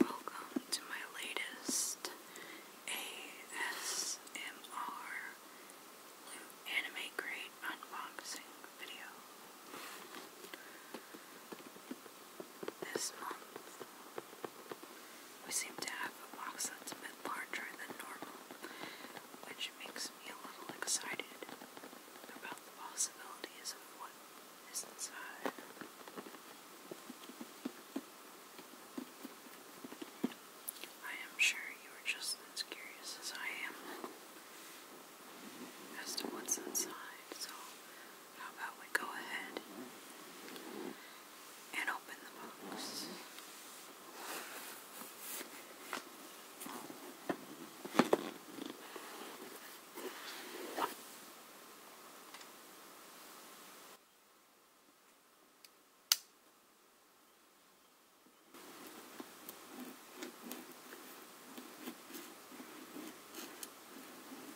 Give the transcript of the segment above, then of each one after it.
Welcome to my latest ASMR Anime Crate unboxing video. This month, we seem to have a box that's a bit larger than normal, which makes me a little excited about the possibilities of what is inside. I am sure you are just as curious as I am as to what's inside, so how about we go ahead and open the box?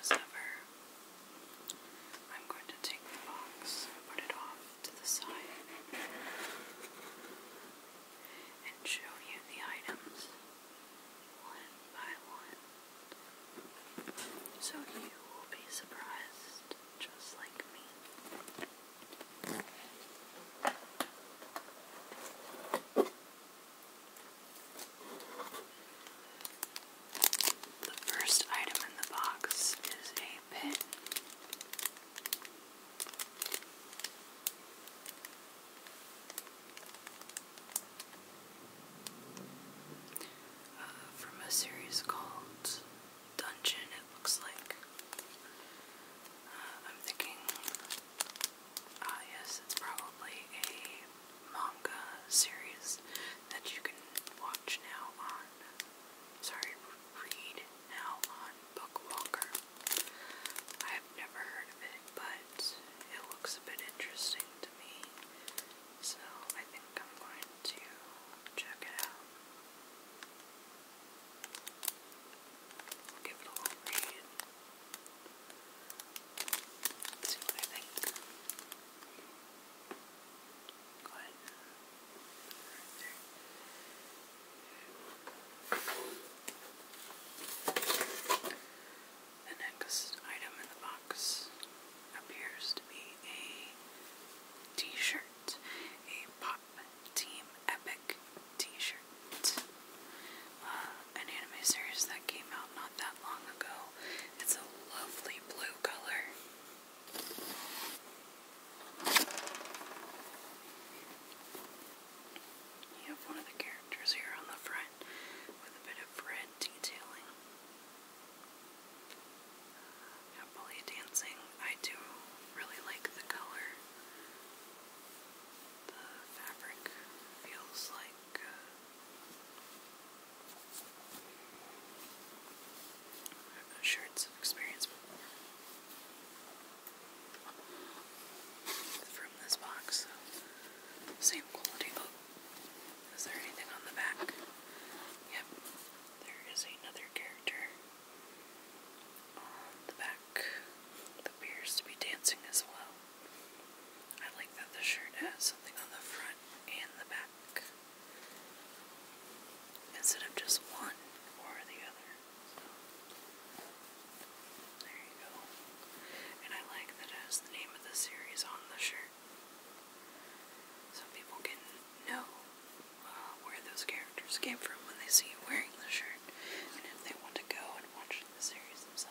As ever, I'm going to take the box put it off to the side and show you the items one by one. So you will be surprised just like me. The first item in the box is a pin. Uh, from a series called Dungeon, it looks like. Uh, I'm thinking Ah, yes, it's probably a manga series that you can watch now on. Sorry, read now on Bookwalker. I have never heard of it, but it looks a bit interesting to me, so I think I'm going to check it out. I'll give it a little read. Let's The next item in the box appears to be a t shirt, a Pop Team Epic t shirt. Uh, an anime series that came out not that long ago. It's a lovely blue color. You have one of the characters here on the front with a bit of red detailing. Happily dancing. I do really like the color. The fabric feels like I have no shirts I've experienced from this box. same quality. Oh, is there anything on the back? Yep, there is another character on the back appears to be dancing as well. I like that the shirt has something on the front and the back instead of just one or the other. there you go. And I like that it has the name of the series on the shirt. So people can know uh, where those characters came from when they see you wearing the shirt. And if they want to go and watch the series themselves.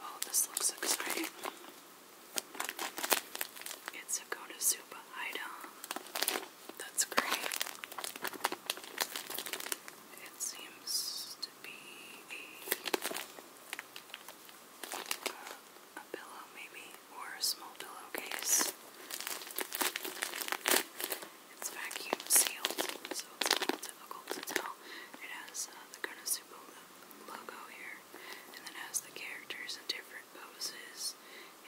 Oh, this looks exciting. It's a Konosuba item. That's great. It seems to be a, pillow, maybe, or a small pillowcase. It's vacuum sealed, so it's difficult to tell. It has uh, the Konosuba logo here, and then has the characters in different poses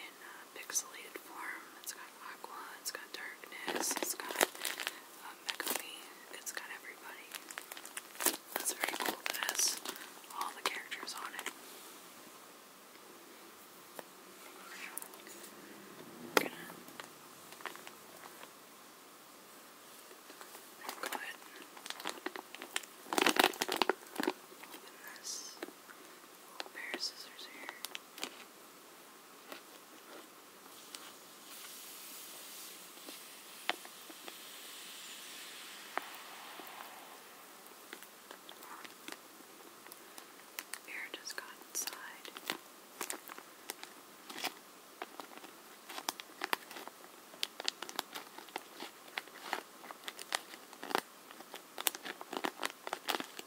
in uh, pixelated form. It's got aqua, it's got darkness, it's got um, Megumi. It's got everybody. That's very cool. It all the characters on it. gonna open this little pair of scissors here. Bear just got inside.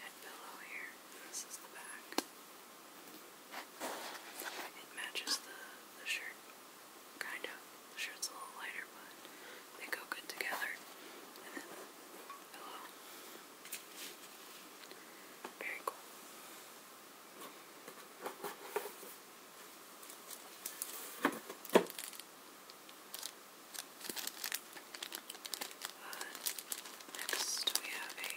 head pillow here. This is the back. It matches the the shirt, kind of. The shirt's a little lighter, but they go good together. And then pillow. Very cool. Uh, next we have a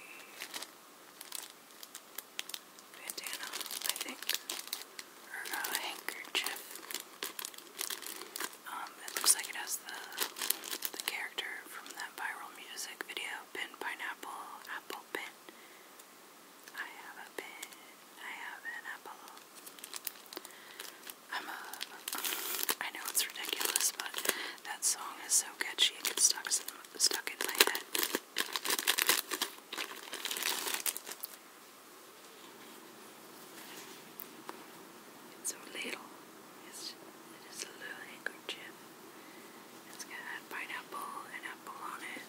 bandana, I think, or a handkerchief. Um, it looks like it has the the character from that viral music video, Pin Pineapple, Apple Pin. I have a pin. I have an apple. I'm a I know it's ridiculous, but that song is so catchy it stuck stuck in my head. It's so little. It's, it is a little handkerchief. It's got pineapple and apple on it.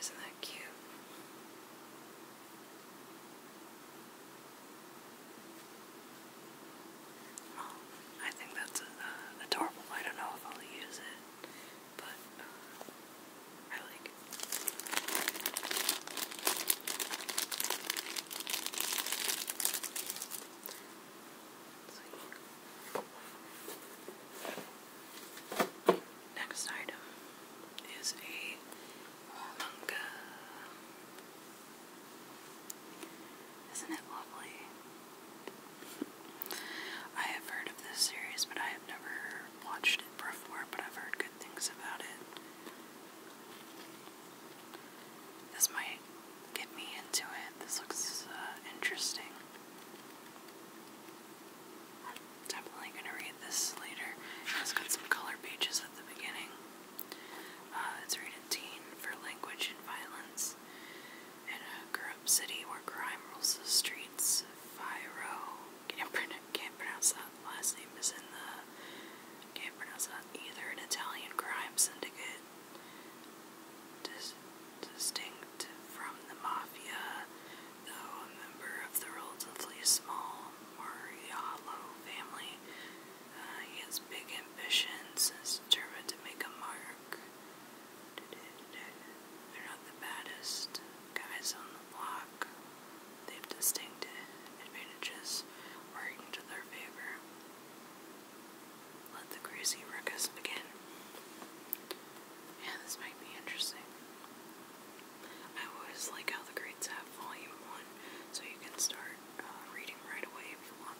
Isn't that cute? I think that's uh, adorable. I don't know if I'll use it, but uh, I like it. let Next item is a manga. Isn't it lovely? I have heard of this series, but I have never watched it before, but I've heard good things about it. This might get me into it. This looks uh, interesting. Definitely gonna read this later. It's got some color pages at the beginning. Uh, it's rated teen for language and violence. In a corrupt city where crime rules the streets, Fiore can't, pronounce that last name is in the can't pronounce that either. An Italian crime syndicate distinct from the mafia Though a member of the relatively small Mariallo family, uh, he has big ambitions and is determined to make a mark. They're not the baddest guys on the block. They have distinct advantages working to their favor. Let the crazy ruckus begin. Yeah, this might be interesting. I always like how the grades have volume 1, so you can start uh, reading right away if you want.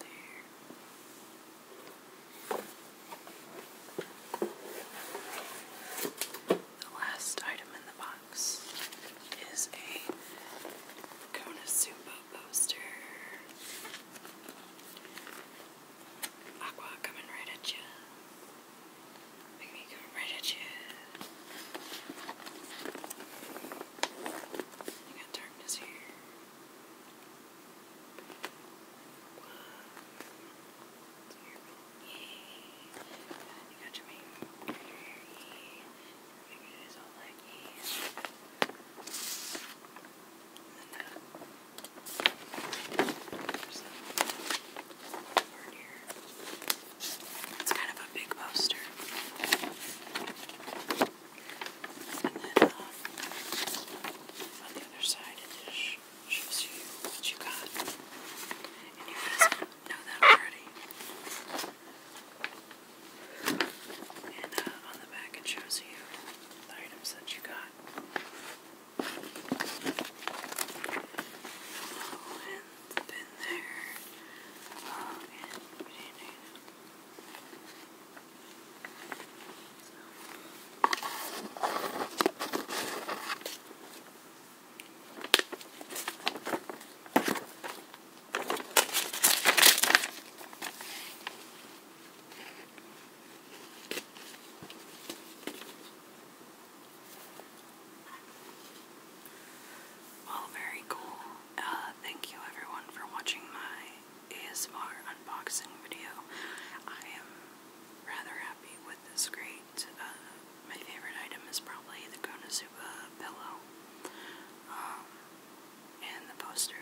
There. The last item in the box is a Konosuba poster. Aqua coming right at you. Baby coming right at you. You got darkness here. You got your main Maybe it is all like yeah. It's kind of a big poster. And then uh, on the other side, it shows you what you got. And you guys know that already. And uh, on the back it shows you the items that you got. Oh, and the pin there. Oh, and we did it. Well, very cool. Uh, thank you everyone for watching my ASMR unboxing video. I am rather happy with this crate. Uh, my favorite item is probably the Konosuba pillow. Um, and the poster.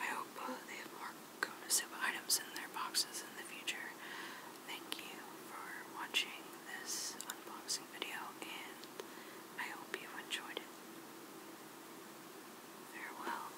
I hope uh, they have more Kona items in their boxes in the future. Thank you for watching this unboxing video, and I hope you enjoyed it. Farewell.